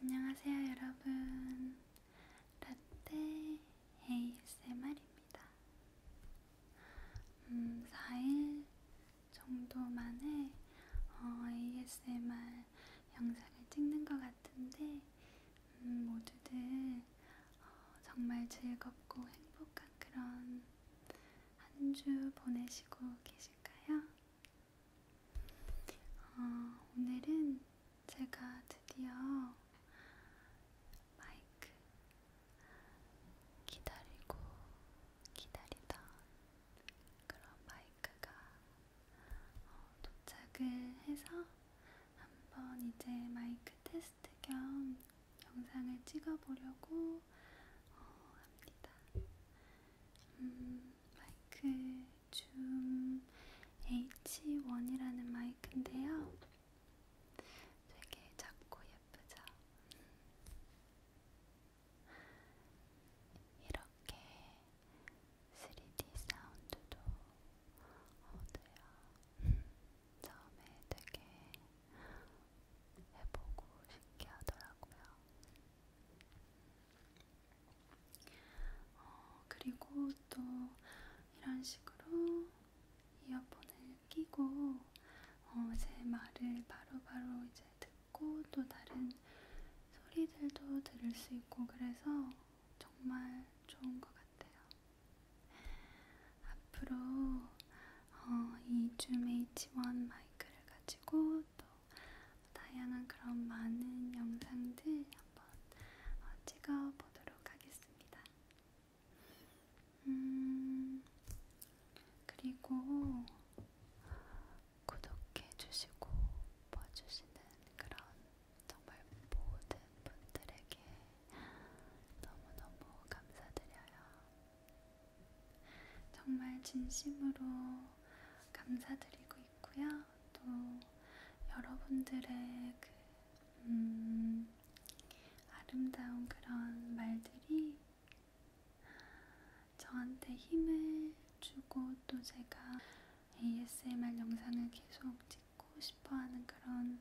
안녕하세요 여러분 라떼 ASMR입니다 음, 4일 정도 만에 어, ASMR 영상을 찍는 것 같은데 음, 모두들 어, 정말 즐겁고 행복한 그런 한 주 보내시고 계실까요? 어, 오늘은 제가 드디어 마이크 기다리고 기다리던 그런 마이크가 어, 도착을 해서 한번 이제 마이크 테스트 겸 영상을 찍어보려고 어, 합니다. 음, 마이크 줌 H1이라는 마이크인데요. 되게 작고 예쁘죠? 이렇게 3D 사운드도 얻어요. 처음에 되게 해보고 신기하더라고요. 어, 그리고 또 이런 식으로 이어폰을 끼고 어, 제 말을 바로바로 바로 이제 듣고 또 다른 소리들도 들을 수 있고 그래서 정말 좋은 것 같아요. 앞으로 어, 이줌 H1 마이크를 가지고 또 다양한 그런 많은 영상들 한번 어, 찍어보도록 하겠습니다. 음, 그리고 구독해주시고 봐주시는 그런 정말 모든 분들에게 너무너무 감사드려요. 정말 진심으로 감사드리고 있고요. 또 여러분들의 그 음, 아름다운 그런 말들이 저한테 힘을 주고 또 제가 ASMR 영상을 계속 찍고 싶어하는 그런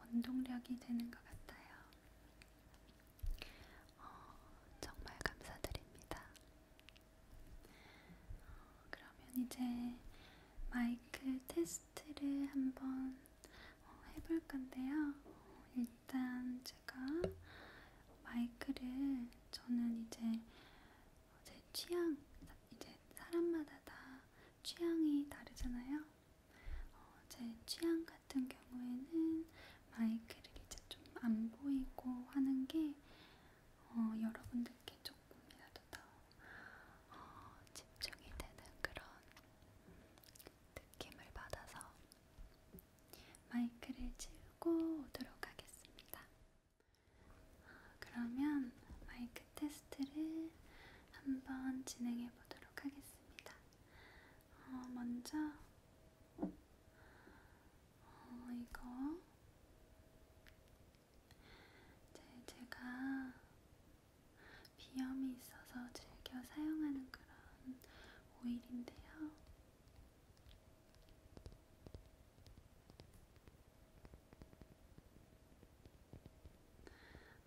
원동력이 되는 것 같아요. 어, 정말 감사드립니다. 어, 그러면 이제 마이크 테스트를 한번 어, 해볼 건데요. 어, 일단 제가 마이크를 저는 이제 제 취향, 이제 사람마다 다 취향이 다르잖아요. 어, 제 취향 같은 경우에는 마이크를 이제 좀 안 보이고 하는 게 어, 여러분들께 조금이라도 더 어, 집중이 되는 그런 느낌을 받아서 마이크를 치우고 오도록 하겠습니다. 그러면 마이크 테스트를 한번 진행해 보도록 하겠습니다. 어, 먼저 어, 이거 제, 제가 비염이 있어서 즐겨 사용하는 그런 오일인데요.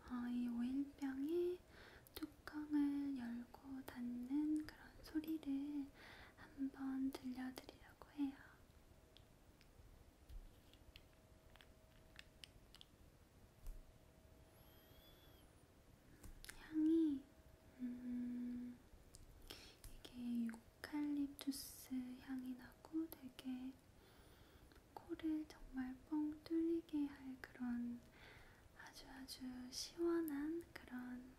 어, 이 오일병에 뚜껑을 열고 닫는 그런 소리를 한번 들려드리려고 해요. 향이 음, 이게 유칼립투스 향이 나고 되게 코를 정말 뻥 뚫리게 할 그런 아주 아주 시원한 그런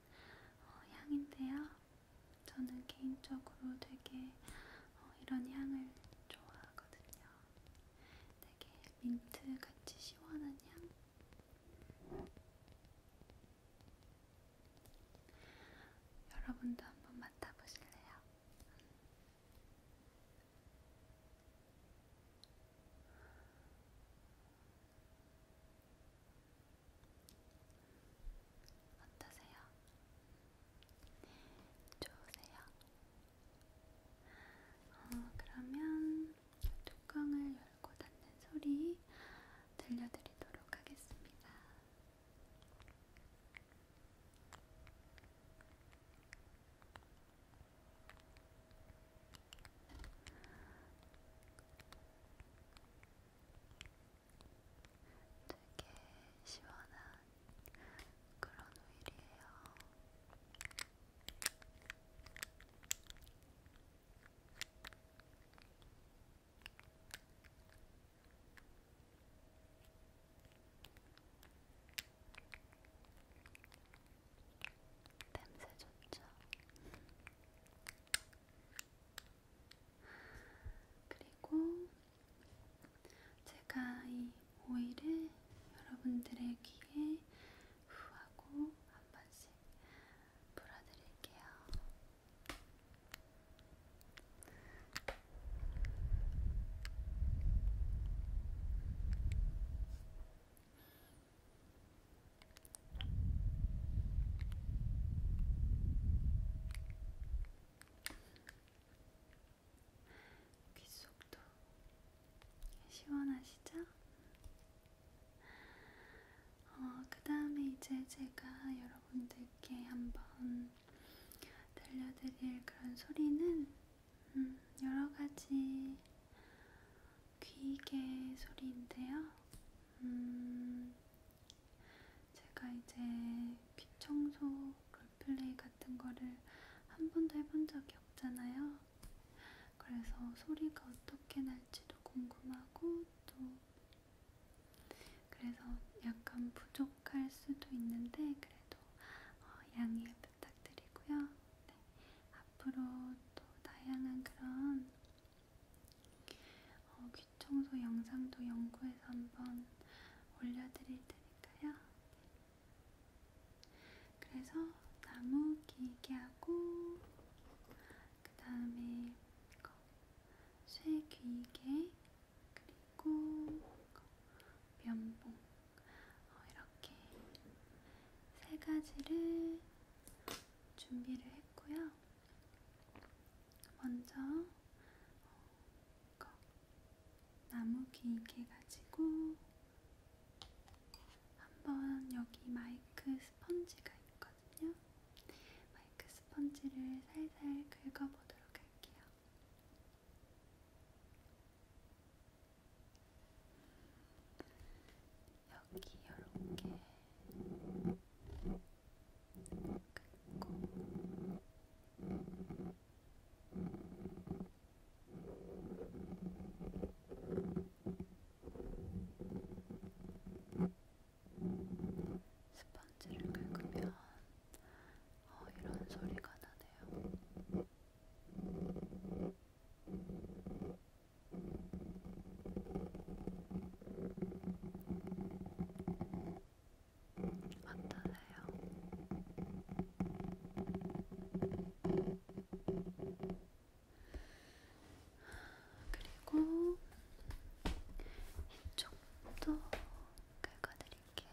어, 향인데요. 저는 개인적으로 되게 어, 이런 향을 좋아하거든요. 되게 민트 같이 시원한 향. 여러분도 한번 맡아보실래요? 어떠세요? 좋으세요? 어, 그러면 뚜껑을 열고 닫는 소리 들려드리도록 하겠습니다. 되게 시원한 그런 오일이에요. 음, 냄새 좋죠? 그리고 제가 이 오일을 여러분들의 귀에 후하고 한 번씩 불어드릴게요. 귓속도 시원하시죠? 어, 그 다음에 이제 제가 여러분들께 한번 들려드릴 그런 소리는 음, 여러 가지 귀개 소리인데요. 음, 제가 이제 귀 청소 롤플레이 같은 거를 한 번도 해본 적이 없잖아요. 그래서 소리가 어떻게 날지도 궁금하고 또 그래서 약간 부족할 수도 있는데 그래도 어, 양해 부탁드리고요. 네. 네. 앞으로 또 다양한 그런 어, 귀청소 영상도 연구해서 한번 올려드릴 테니까요. 그래서 나무 길게 하고 그 다음에 쇠 귀게 그리고 면봉 어, 이렇게 세 가지를 준비를 했고요. 먼저 어, 나무 길게 가지고 한번 여기 마이크 스펀지가 있거든요. 마이크 스펀지를 살살 긁어보도록 할게요. 여기 이렇게 긁고 스펀지를 긁으면 어, 이런 소리가 나네요. 어떠세요? 그리고 이쪽도 긁어드릴게요.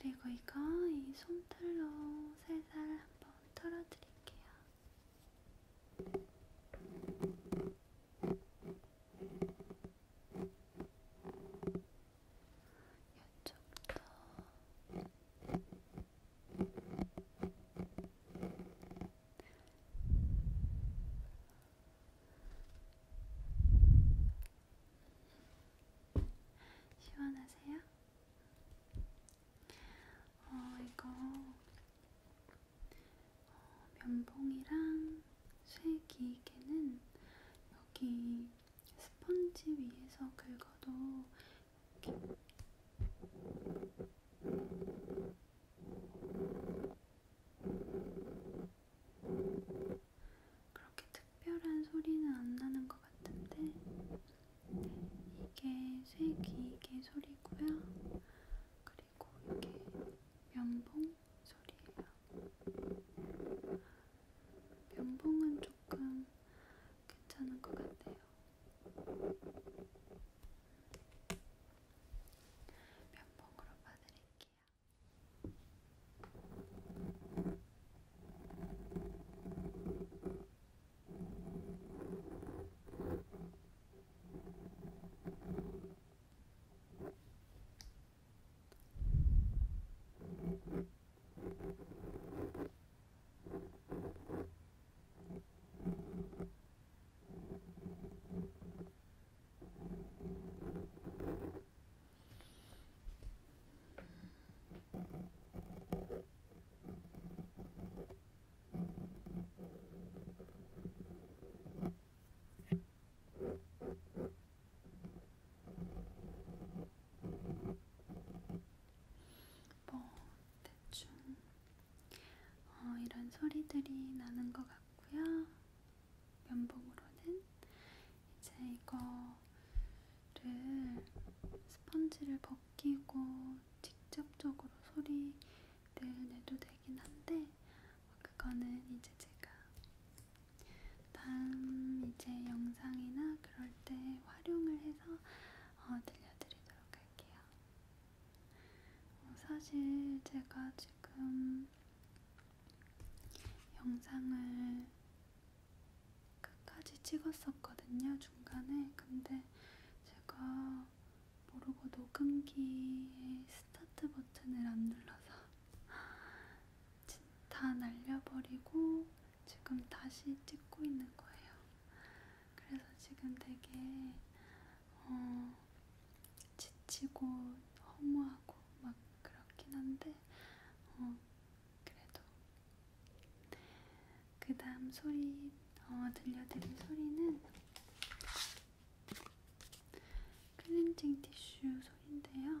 그리고 이거 이 손틀로 살살 한번 털어드릴게요. 이쪽도 시원하세요? 어, 이거 어, 면봉이랑 쇠기계는 여기 스펀지 위에서 긁어도 이렇게 그렇게 특별한 소리는 안 나는 것 같은데 이게 새 귀이개 소리고요. 그리고 이게 면봉 소리예요. 면봉은 조금 괜찮은 것 같아요. 면봉으로 봐드릴게요. 네, 뭐 대충 어, 이런 소리들이 나는 것 같고요. 면봉으로는 이제 이거를 스펀지를 벗기고 직접적으로 소리를 내도 되긴 한데 그거는 이제 제가 다음 이제 영상이나 그럴 때 활용을 해서 어, 들려드리도록 할게요. 사실 제가 지금 영상을 끝까지 찍었었거든요, 중간에. 근데 제가 모르고 녹음기의 스타트 버튼을 안 눌러서 다 날려버리고 지금 다시 찍고 있는 거예요. 그래서 지금 되게 어, 지치고 허무하고 막 그렇긴 한데 어, 그래도 그 다음 소리 어, 들려드릴 소리는 클렌징 티슈 소리인데요.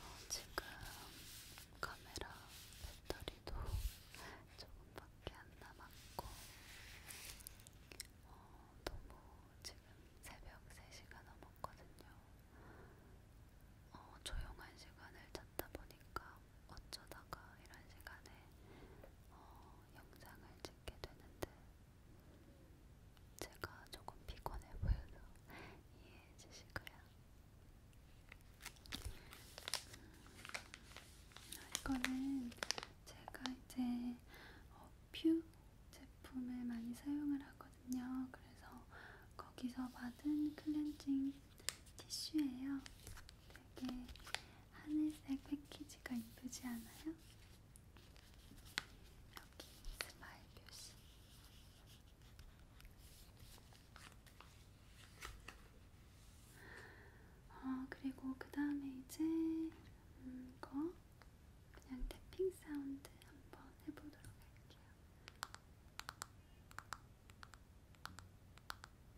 어, 지금 카메라 배터리도 조금밖에 안 남았고 어, 너무 지금 새벽 3시가 넘었거든요. 어, 조용한 시간을 찾다 보니까 어쩌다가 이런 시간에 어, 영상을 찍게 되는데 제가 조금 피곤해 보여서 이해해 주시고요. 음, 이거는 제가 이제 어, 퓨 제품을 많이 사용을 하거든요. 그래서 거기서 받은 클렌징 티슈예요. 되게 하늘색 패키지가 이쁘지 않아요? 여기 스마일 표시. 어, 그리고 그 다음에 이제 음, 이거 그냥 태핑 사운드 한번 해보도록 할게요.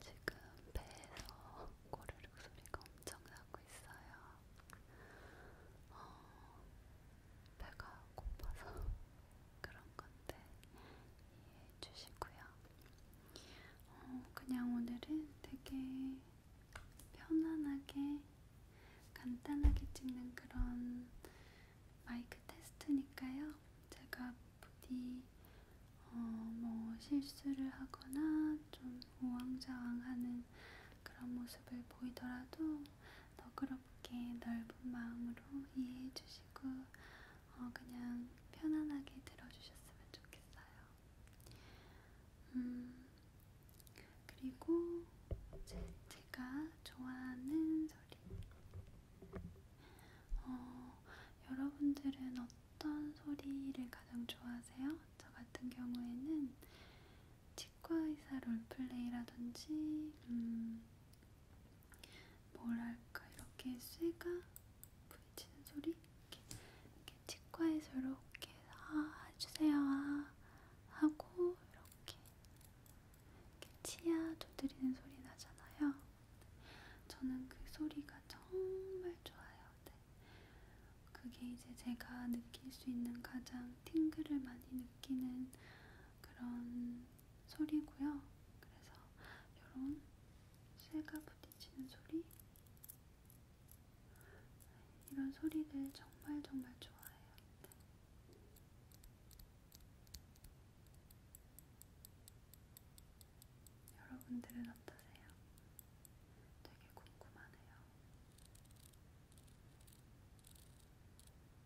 지금 배에서 고르륵 소리가 엄청 나고 있어요. 어, 배가 고파서 그런 건데 이해해 주시고요. 어, 그냥 오늘은 되게 편안하게 간단하게 찍는 그런 마이크 테스트니까요. 제가 부디 어, 뭐 실수를 하거나 좀 우왕좌왕하는 그런 모습을 보이더라도 너그럽게 넓은 마음으로 이해해 주시고 어, 그냥 편안하게 들어주셨으면 좋겠어요. 음, 그리고 제, 제가 좋아하는 소리. 어, 여러분들은 어떤 소리를 가장 좋아하세요? 저 같은 경우에는 치과의사 롤플레이라든지, 음, 뭐랄까 이렇게 쇠가 부딪히는 소리 이렇게, 이렇게 치과에서 이렇게 아 해주세요 아 하고 이렇게, 이렇게 치아 두드리는 소리 나잖아요. 저는 그 소리가 정말 좋아요. 네. 그게 이제 제가 느낄 수 있는 가장 팅글을 많이 느끼는 그런 소리고요. 그래서 이런 쇠가 부딪히는 소리 이런 소리들 정말 정말 좋아해요. 네. 여러분들은 어떠세요? 되게 궁금하네요.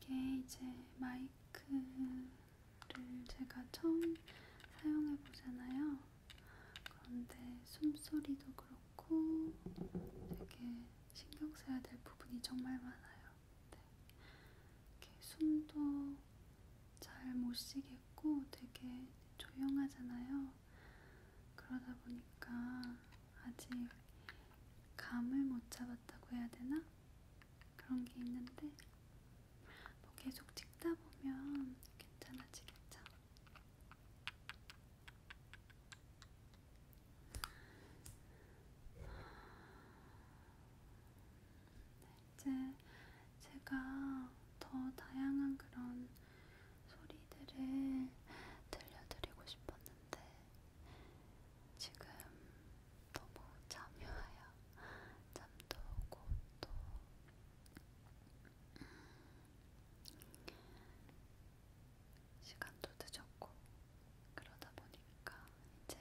이게 이제 마이크를 제가 처음 사용해 보잖아요. 그런데 숨소리도 그렇고 되게 신경 써야 될 부분이 정말 많아요. 네. 이렇게 숨도 잘 못 쉬겠고 되게 조용하잖아요. 그러다 보니까 아직 감을 못 잡았다고 해야 되나? 그런 게 있는데 뭐 계속 찍다 보면 괜찮아지겠죠? 이제 제가 더 다양한 그런 소리들을 들려드리고 싶었는데 지금 너무 잠이 와요. 잠도 오고 또 시간도 늦었고 그러다 보니까 이제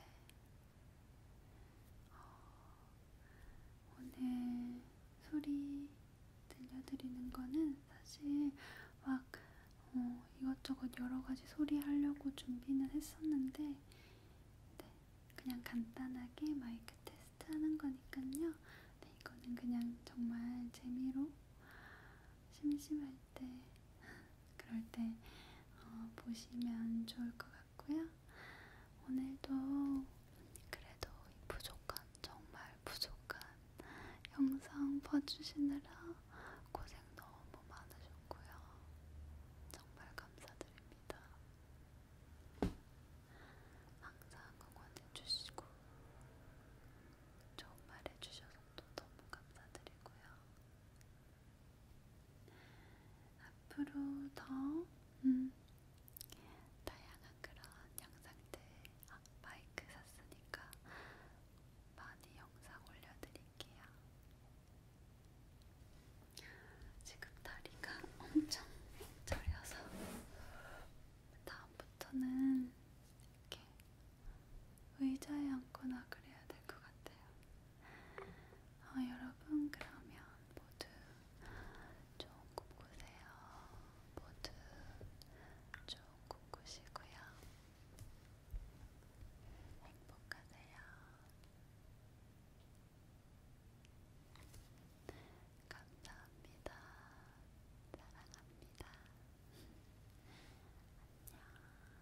어, 오늘 소리 들려드리는 거는 사실 막 어, 이것저것 여러 가지 소리 하려고 준비는 했었는데 네, 그냥 간단하게 마이크 테스트 하는 거니까요. 네, 이거는 그냥 정말 재미로 심심할 때 그럴 때 어, 보시면 좋을 것 같고요. 오늘도 그래도 이 부족한 정말 부족한 영상 봐주시느라 고생 너무 많으셨고요. 정말 감사드립니다. 항상 응원해주시고 좋은 말 해주셔서 또 너무 감사드리고요. 앞으로 더 음, 다양한 그런 영상들 아, 마이크 샀으니까 많이 영상 올려드릴게요. 지금 다리가 엄청 저려서 다음부터는 이렇게 의자에 앉거나 그래야 될 것 같아요. 어, 여러분 그러면 모두 좀 꿈꾸세요. 모두 좀 꿈꾸시고요. 행복하세요. 감사합니다. 사랑합니다. 안녕.